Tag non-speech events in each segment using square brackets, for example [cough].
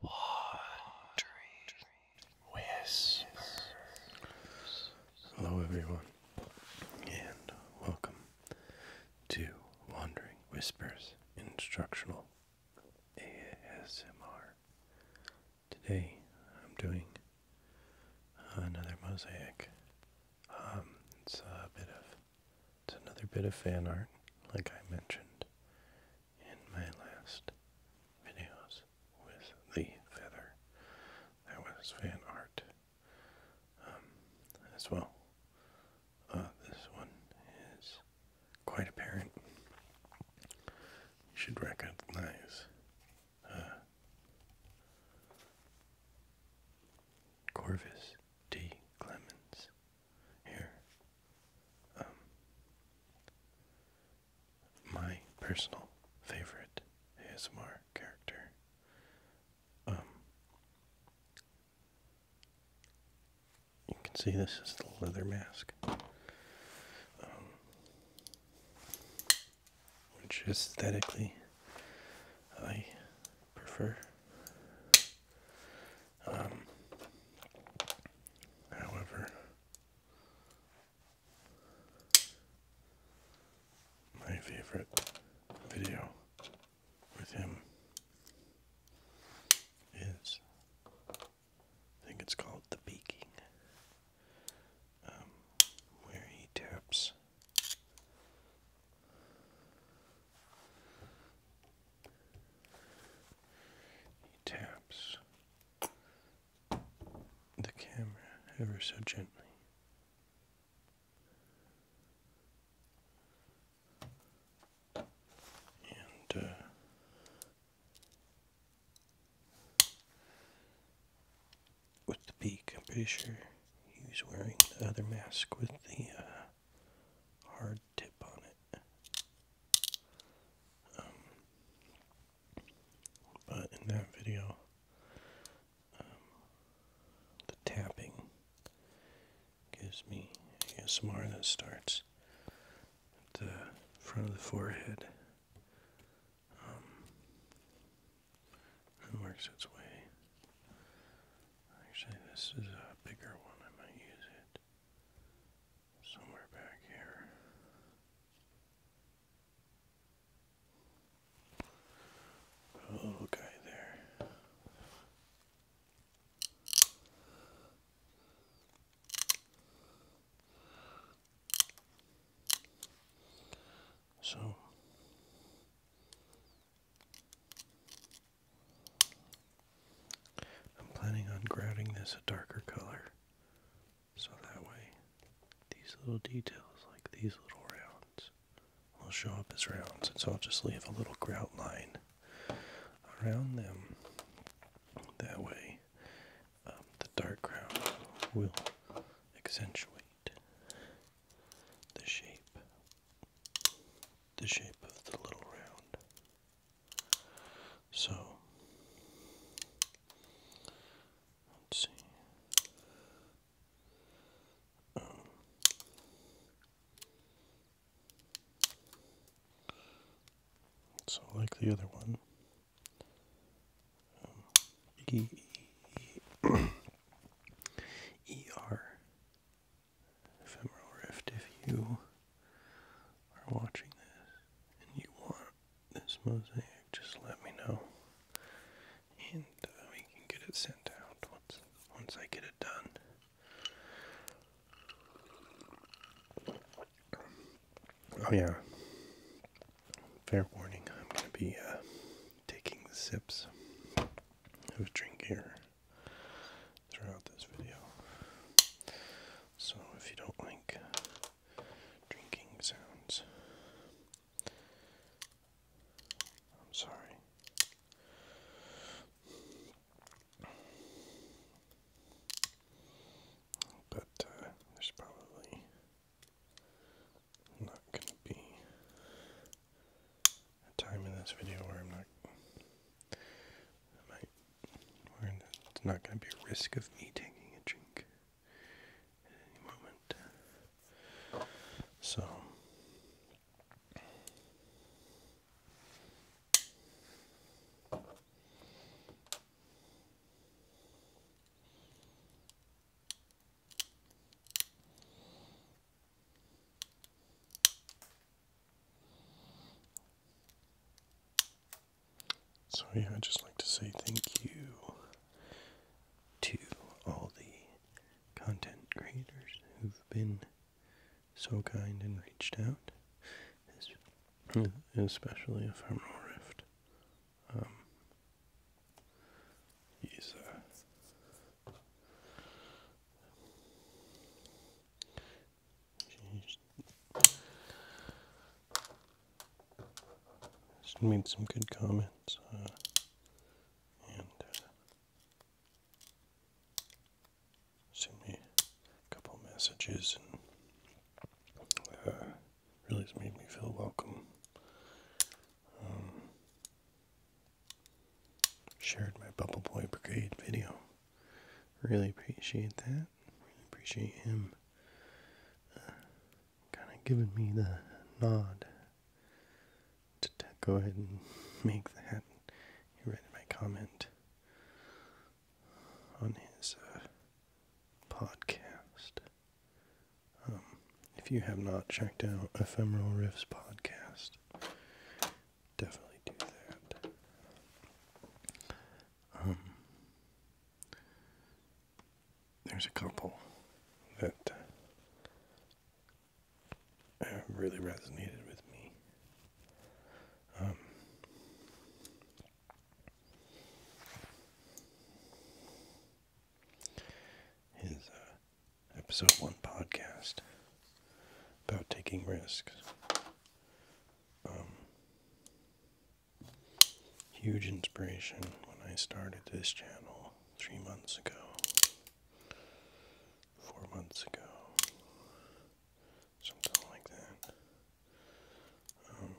Wandering Whispers. Hello, everyone, and welcome to Wandering Whispers Instructional ASMR. Today, I'm doing another mosaic. Um, it's a bit of it's another bit of fan art, like I mentioned in my last videos with the feather. That was fan art um, as well. Uh, this one is quite apparent. You should recognize uh, Corvus D. Clemens here. Um, my personal favorite is ASMR character. Um, you can see this is the leather mask, um, which aesthetically I prefer. Um, however, my favorite video with him is, I think it's called The Peaking, um, where he taps. He taps the camera ever so gently. And, uh, with the peak, I'm pretty sure he was wearing the other mask with the uh, hard tip on it. Um, but in that video, um, the tapping gives me ASMR that starts at the front of the forehead um, and works its way. Actually, this is a bigger one. I might use it somewhere back here. Oh, guy there. So I'm planning on grouting this a darker color so that way these little details, like these little rounds, will show up as rounds. And so I'll just leave a little grout line around them. That way, um, the dark ground will accentuate the shape, the shape of the little round. So let's see. Um, so, like the other one, um, Ephemeral Rift, if you are watching this and you want this mosaic, just let me know, and uh, we can get it sent out once once I get it done. Oh yeah, fair warning, I'm gonna be uh, taking sips of drink here throughout this video. So if you don't like drinking sounds, I'm sorry. But uh, there's probably not going to be a time in this video where I'm not, I might, where it's not going to be a risk of me taking a drink at any moment. So. So, yeah, I'd just like to say thank you to all the content creators who've been so kind and reached out, especially if I'm Rift. Um, he's uh, she made some good comments. Uh, and uh, sent me a couple messages and uh, really made me feel welcome. Um, shared my Bubble Boy Brigade video. Really appreciate that. Really appreciate him uh, kind of giving me the nod to, go ahead and [laughs] make that. read my comment on his uh, podcast. Um, if you have not checked out Ephemeral Riffs podcast, definitely do that. Um, there's a couple that really resonated with me. Um, uh, episode one podcast about taking risks. Um, huge inspiration when I started this channel three months ago, four months ago, something like that. Um,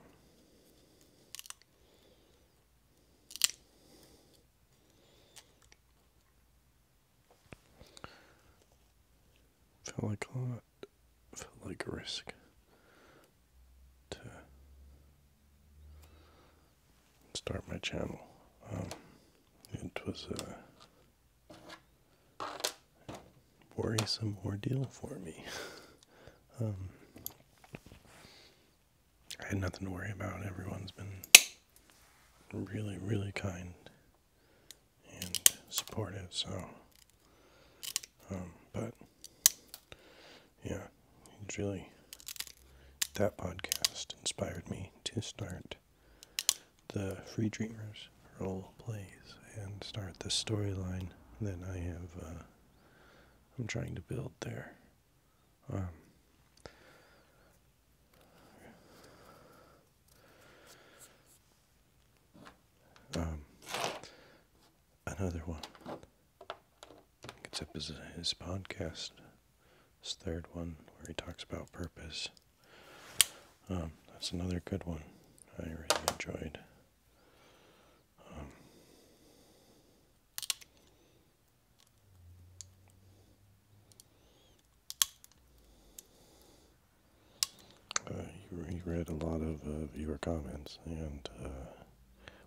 Felt like a Felt like a risk to start my channel. Um, it was a worrisome ordeal for me. [laughs] Um, I had nothing to worry about. Everyone's been really, really kind and support it. So, um, but yeah, it's really that podcast inspired me to start the Free Dreamers role plays and start the storyline that I have. Uh, I'm trying to build there. Um, um, another one. It's up his, his podcast, his third one, where he talks about purpose. Um, that's another good one I really enjoyed. Um, uh, you, read a lot of uh, viewer comments, and uh,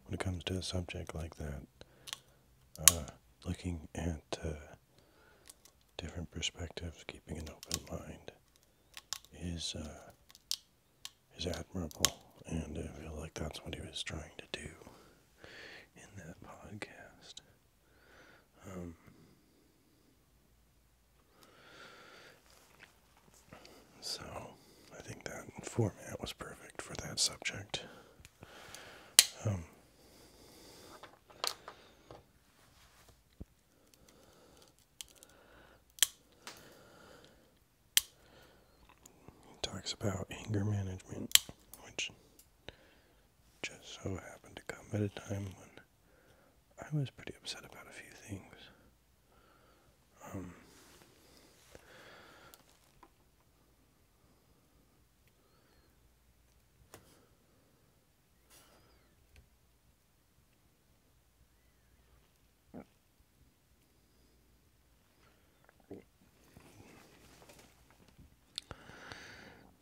when it comes to a subject like that, uh, looking at different perspectives, keeping an open mind, is is admirable, and I feel like that's what he was trying to do in that podcast. Um, so I think that format was perfect for that subject. Um, talks about anger management, which just so happened to come at a time when I was pretty upset about a few things. Um,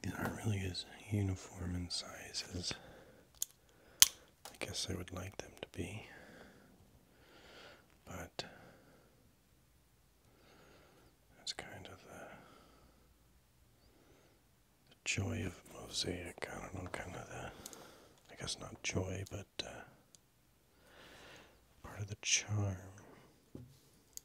these aren't really as uniform in size as I guess I would like them to be. But that's kind of the, joy of mosaic. I don't know, kind of the, I guess not joy, but uh, part of the charm.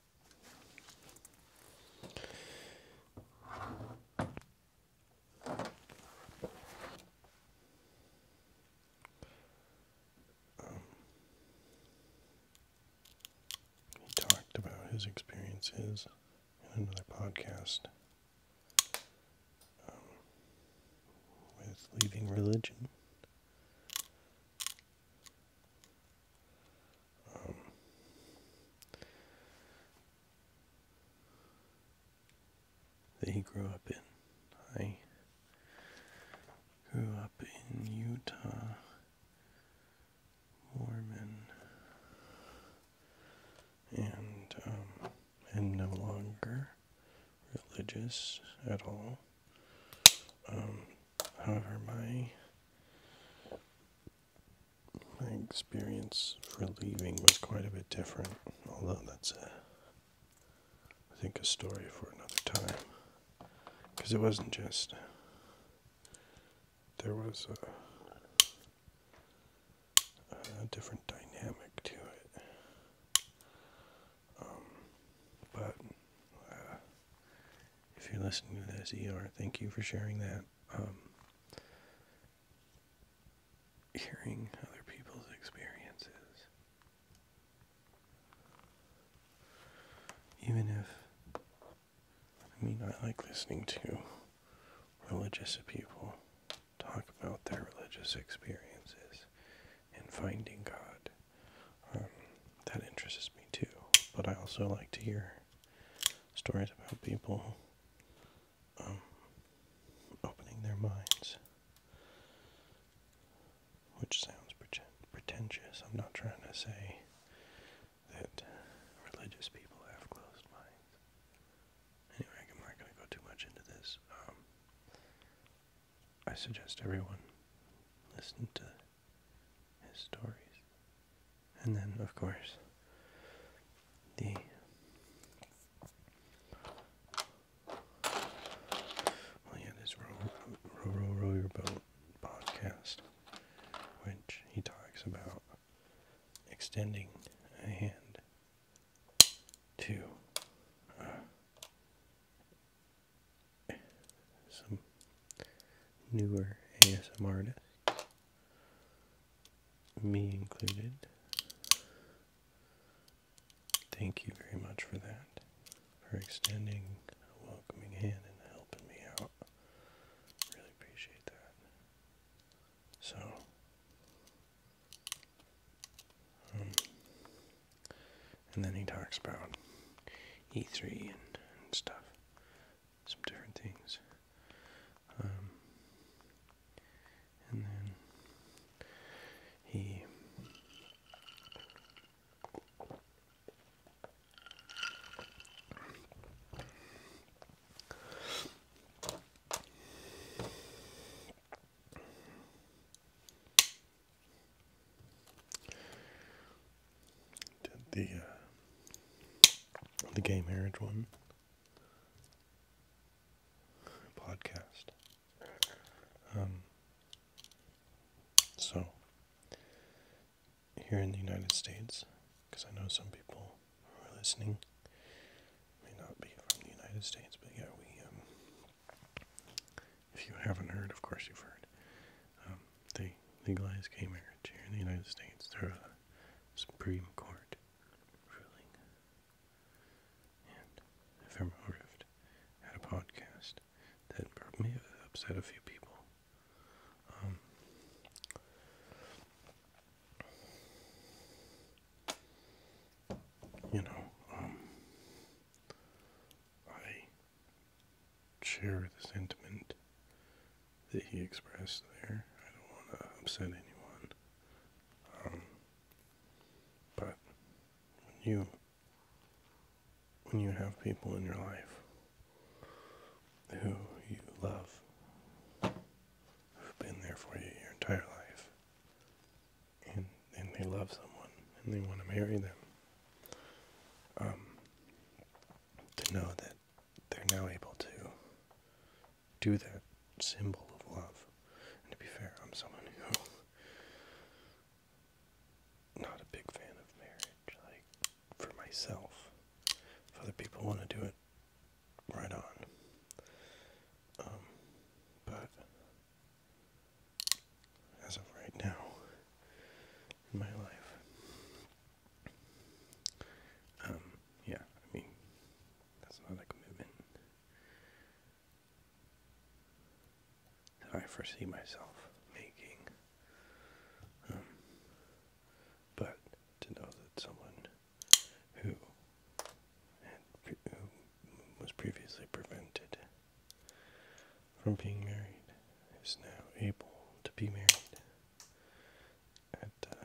He um, talked about his experiences in another podcast um, with leaving religion um, that he grew up in. I grew up in Utah, Mormon, and um, no longer religious at all. Um, however, my my experience for leaving was quite a bit different, although that's a, I think, a story for another time. Because it wasn't just, there was a, different dynamic to it. Um, but uh, if you're listening to this, ER, thank you for sharing that. Um, hearing other people's experiences. Even if, I mean, I like listening to religious people talk about their religious experiences and finding God. Um, that interests me too, but I also like to hear stories about people um, opening their minds, which sounds pretentious. I'm not trying to say that religious people have closed minds. Anyway, I'm not going to go too much into this. Um, I suggest everyone listen to his stories. And then, of course, the well, yeah, this row, row, row, row your boat podcast, which he talks about extending a hand to uh, some newer ASM artists, me included. Thank you very much for that, for extending a welcoming hand and helping me out. Really appreciate that. So, um, and then he talks about E3 and stuff some different things. Um, and then he did the uh, the gay marriage one podcast. Um, so here in the United States, because I know some people who are listening may not be from the United States, but yeah, we um, if you haven't heard, of course you've heard. Um, they legalized gay marriage here in the United States through a Supreme Court ruling. And Ephemeral Rift had a podcast that may upset a few people. Um, you know, um, I share the sentiment that he expressed there. I don't want to upset anyone. Um, but you when you have people in your life who you love, who've been there for you your entire life, and, and they love someone and they want to marry them, um, to know that they're now able to do that symbol of love. And to be fair, I'm someone who not a big fan of marriage, like for myself. If other people want to do it, right on. Um, but as of right now, in my life. Um, yeah, I mean, that's not a commitment. So I foresee myself making. Um, but to know that someone who was previously prevented from being married is now able to be married at uh,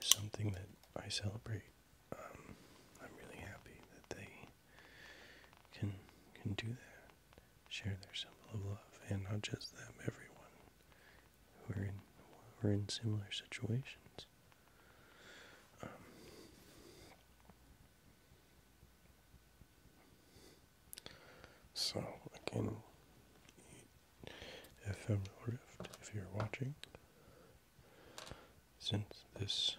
something that I celebrate. Um, I'm really happy that they can can do that, share their symbol of love, and not just them, everyone who are in who are in similar situations. Um, so again, ephemeral rift. If you're watching, since this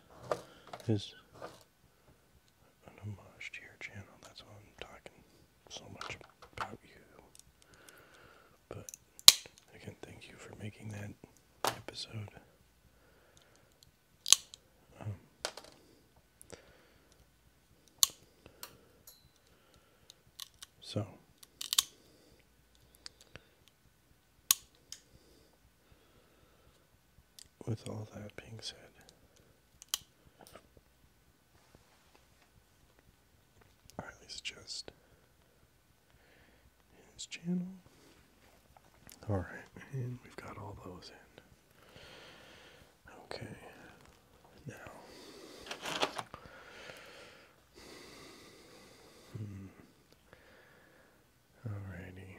is an homage to your channel, that's why I'm talking so much about you. But again, thank you for making that episode. Um, so with all that being said, Riley suggest his channel. Alright, and we've got all those in. Okay, now hmm. alrighty.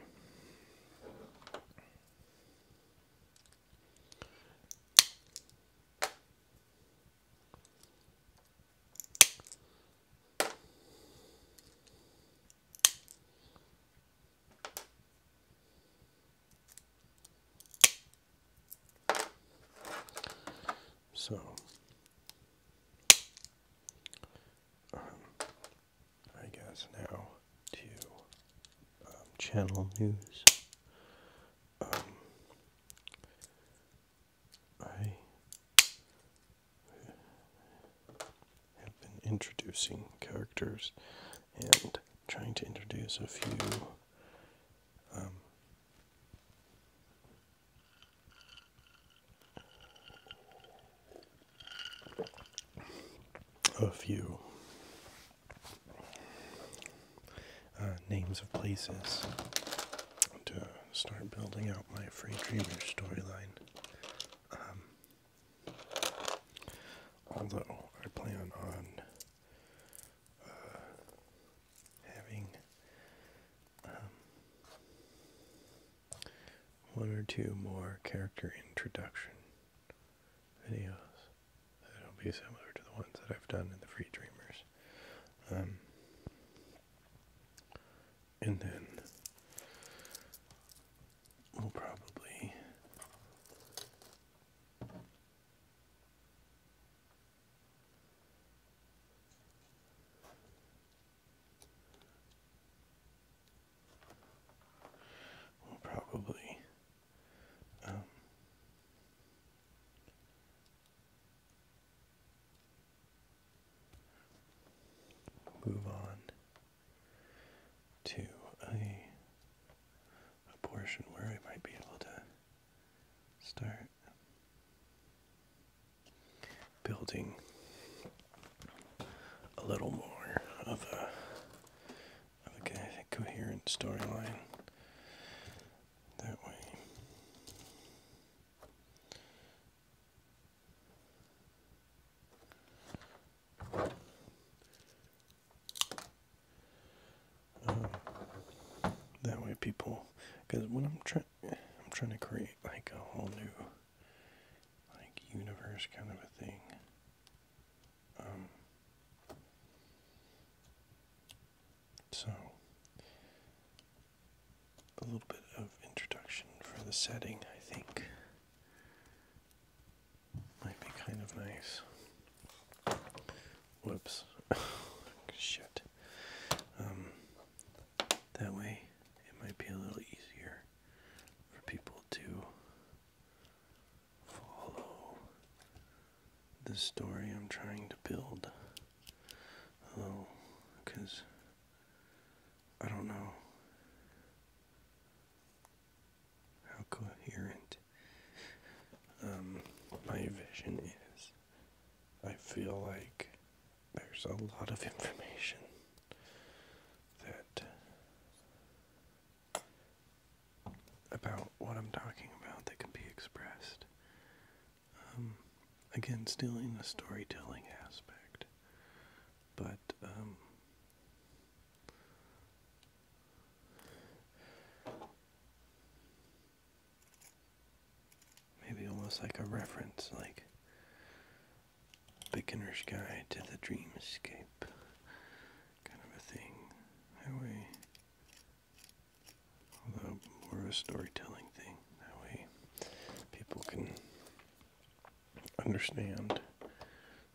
So, um, I guess now to um, channel news. Um, I have been introducing characters and trying to introduce a few um, a few uh, names of places to start building out my free dreamer storyline. Um, Although I plan on uh, having um, one or two more character introduction videos that'll be similar to the ones that I've done in the Free Dreamers. Um, and then we'll probably We'll probably um, move on to a, a portion where I might be able to start building a little more of a of a coherent storyline. That way. Uh-huh. that way, people, because when I'm trying, I'm trying to create like a whole new, like universe kind of a thing. Um, so, a little bit of introduction for the setting, I think. Might be kind of nice. Whoops. [laughs] Shit. Um, that way it might be a little easier for people to follow the story I'm trying to build. Although, I don't know how coherent um, my vision is. I feel like there's a lot of information that about what I'm talking about that can be expressed. Um, again, still in the storytelling aspect, but um, Maybe almost like a reference, like Beginner's Guide to the dream escape, kind of a thing. That way, although more of a storytelling thing, that way people can understand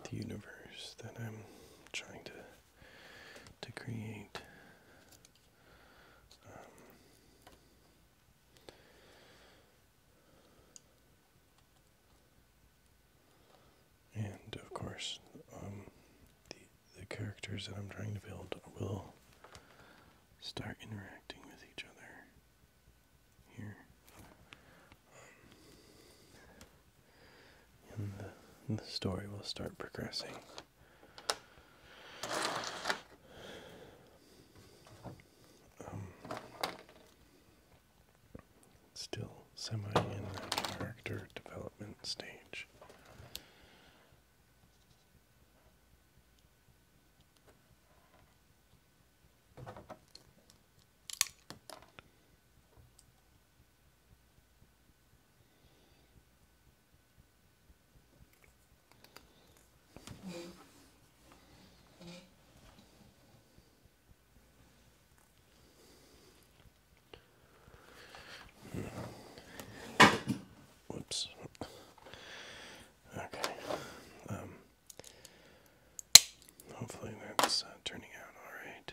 the universe that I'm trying to to create. Um, and of course, um, the, the characters that I'm trying to build will start interacting with each other here and the, story will start progressing. Um, still semi in the character development stage. Whoops. Okay. Um, hopefully that's uh, turning out all right.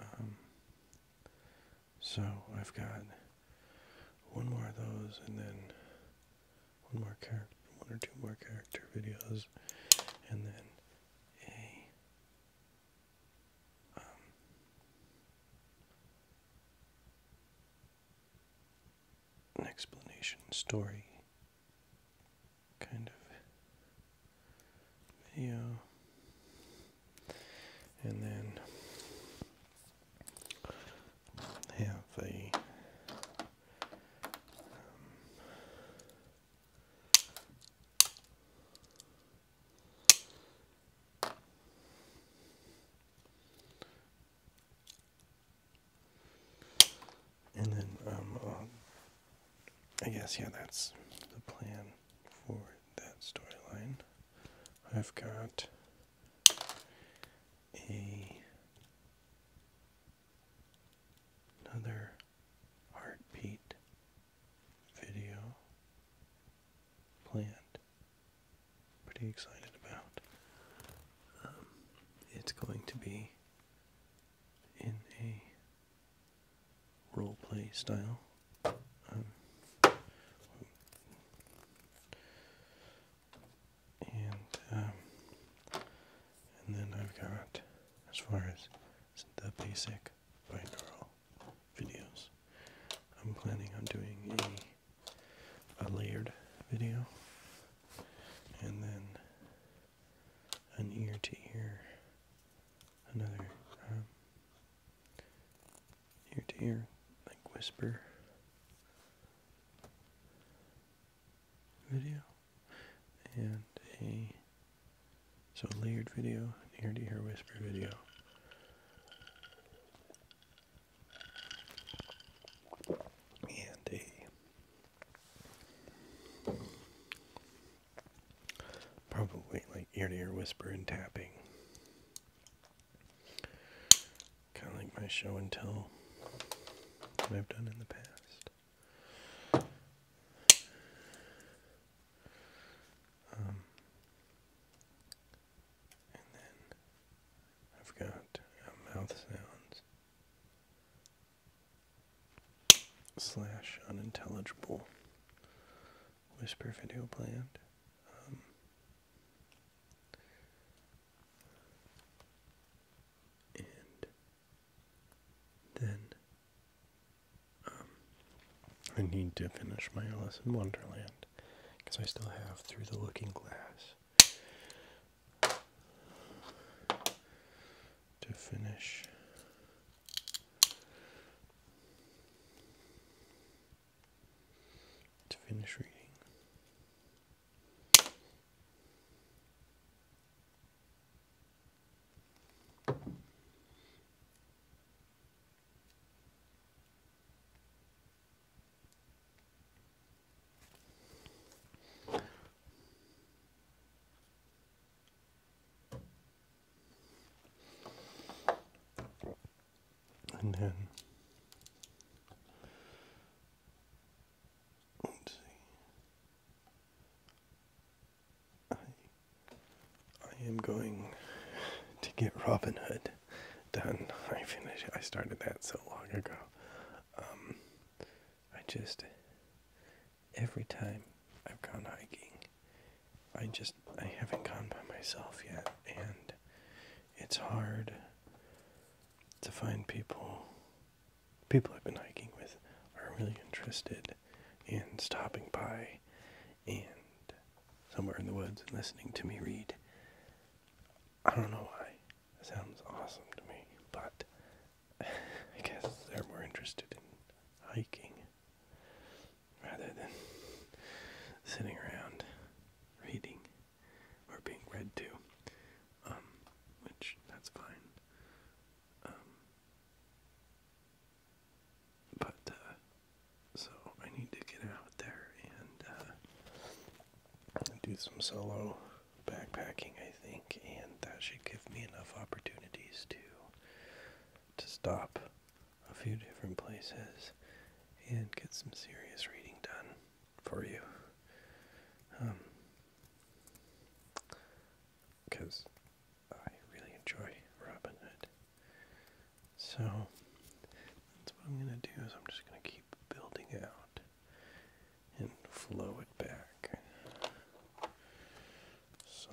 Um, so I've got one more of those, and then one more character, one or two more character videos, and then a um, an explanation story kind of video. And then have a um, and then, um, uh, I guess, yeah, that's the plan for that storyline. I've got a another heartbeat video planned. Pretty excited about. Um, it's going to be in a role play style. Um, and um, and then I've got as far as the basic binaural videos. I'm planning on doing a a layered video and then an ear to ear, another um, ear to ear, like whisper video, and a so layered video, ear to ear whisper video. And a Probably like ear to ear whisper and tapping. Kind of like my show and tell that I've done in the past. Um, and then I've got uh, mouth sounds slash unintelligible whisper video planned. Um, and then um, I need to finish my Alice in Wonderland because I still have Through the Looking Glass to finish. To finish reading. And then let's see. I I am going to get Robin Hood done. [laughs] I finished I started that so long ago. Um, I just, every time I've gone hiking, I just, I haven't gone by myself yet, and it's hard to find people. People I've been hiking with are really interested in stopping by and somewhere in the woods and listening to me read. I don't know why. sounds awesome to me, but I guess they're more interested in hiking rather than sitting around reading or being read to, um, which that's fine. Um, but uh, so I need to get out there and uh, do some solo backpacking, I think, and that should give me enough opportunities to to stop a few different places and get some serious reading done for you. Um, because I really enjoy Robin Hood. So that's what I'm gonna do is I'm just gonna keep building out and flow it back. So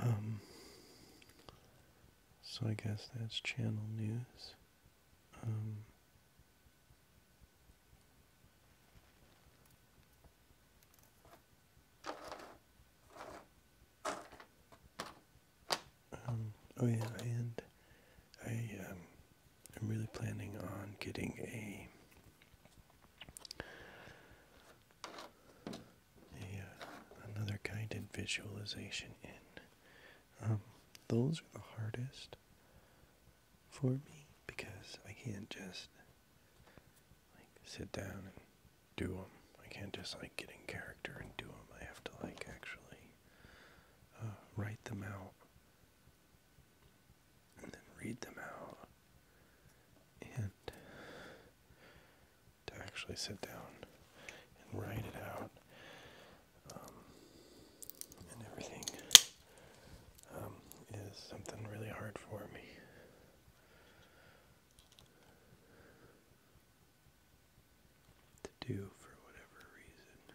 Um, so I guess that's channel news. Um, um, oh yeah, and I I'm really planning on getting a a uh, another visualization in. Um, those are the hardest for me because I can't just like sit down and do them. I can't just like get in character and do them. I have to like actually uh, write them out and then read them out and to actually sit down and write it out um, and everything um, is something really hard for me. To do for whatever reason.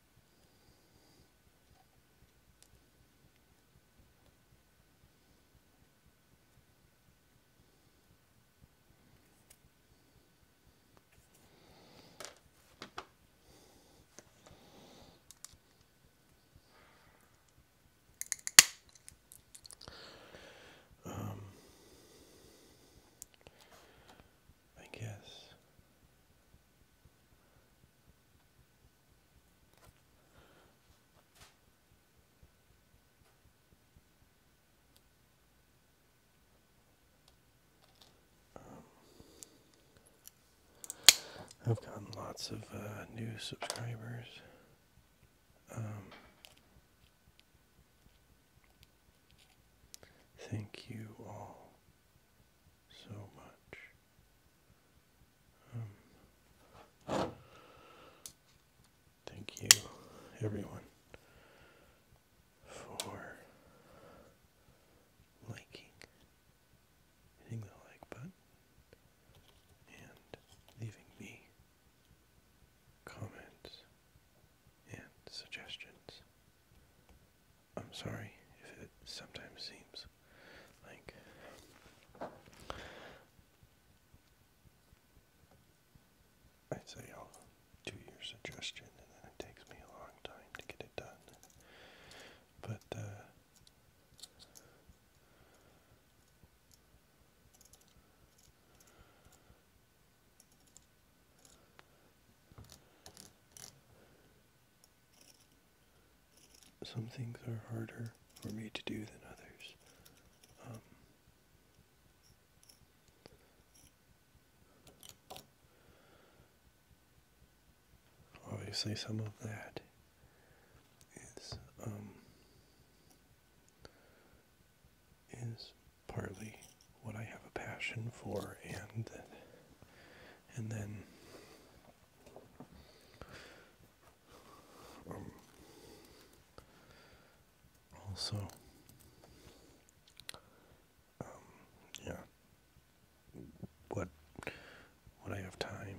Um, I guess um, I've gotten lots of uh, new subscribers. Um, thank you all so much. Um, thank you, everyone, for liking, hitting the like button, and leaving me comments and suggestions. I'm sorry if it sometimes seems like I say I'll do your suggestion and then it takes me a long time to get it done. But uh, some things are harder for me to do than others. Um, obviously, some of that is um, is partly what I have a passion for, and and then um, also, um, yeah, what what I have time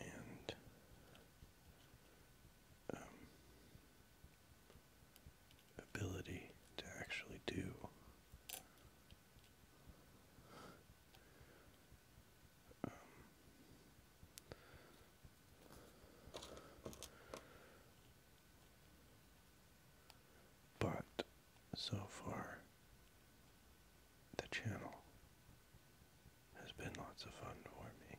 and um, ability to actually do but so far, the channel has been lots of fun for me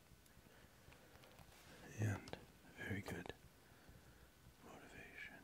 and very good motivation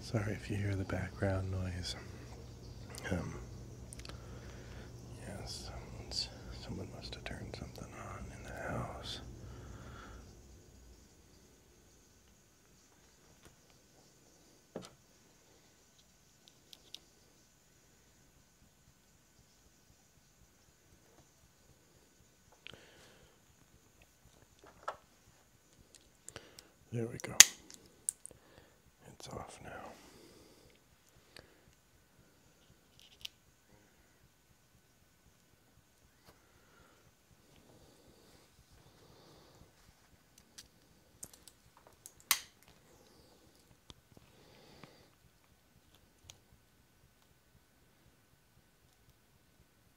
Sorry if you hear the background noise. Um, yes, someone must have turned something on in the house. There we go. It's off now.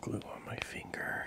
Glue on my finger.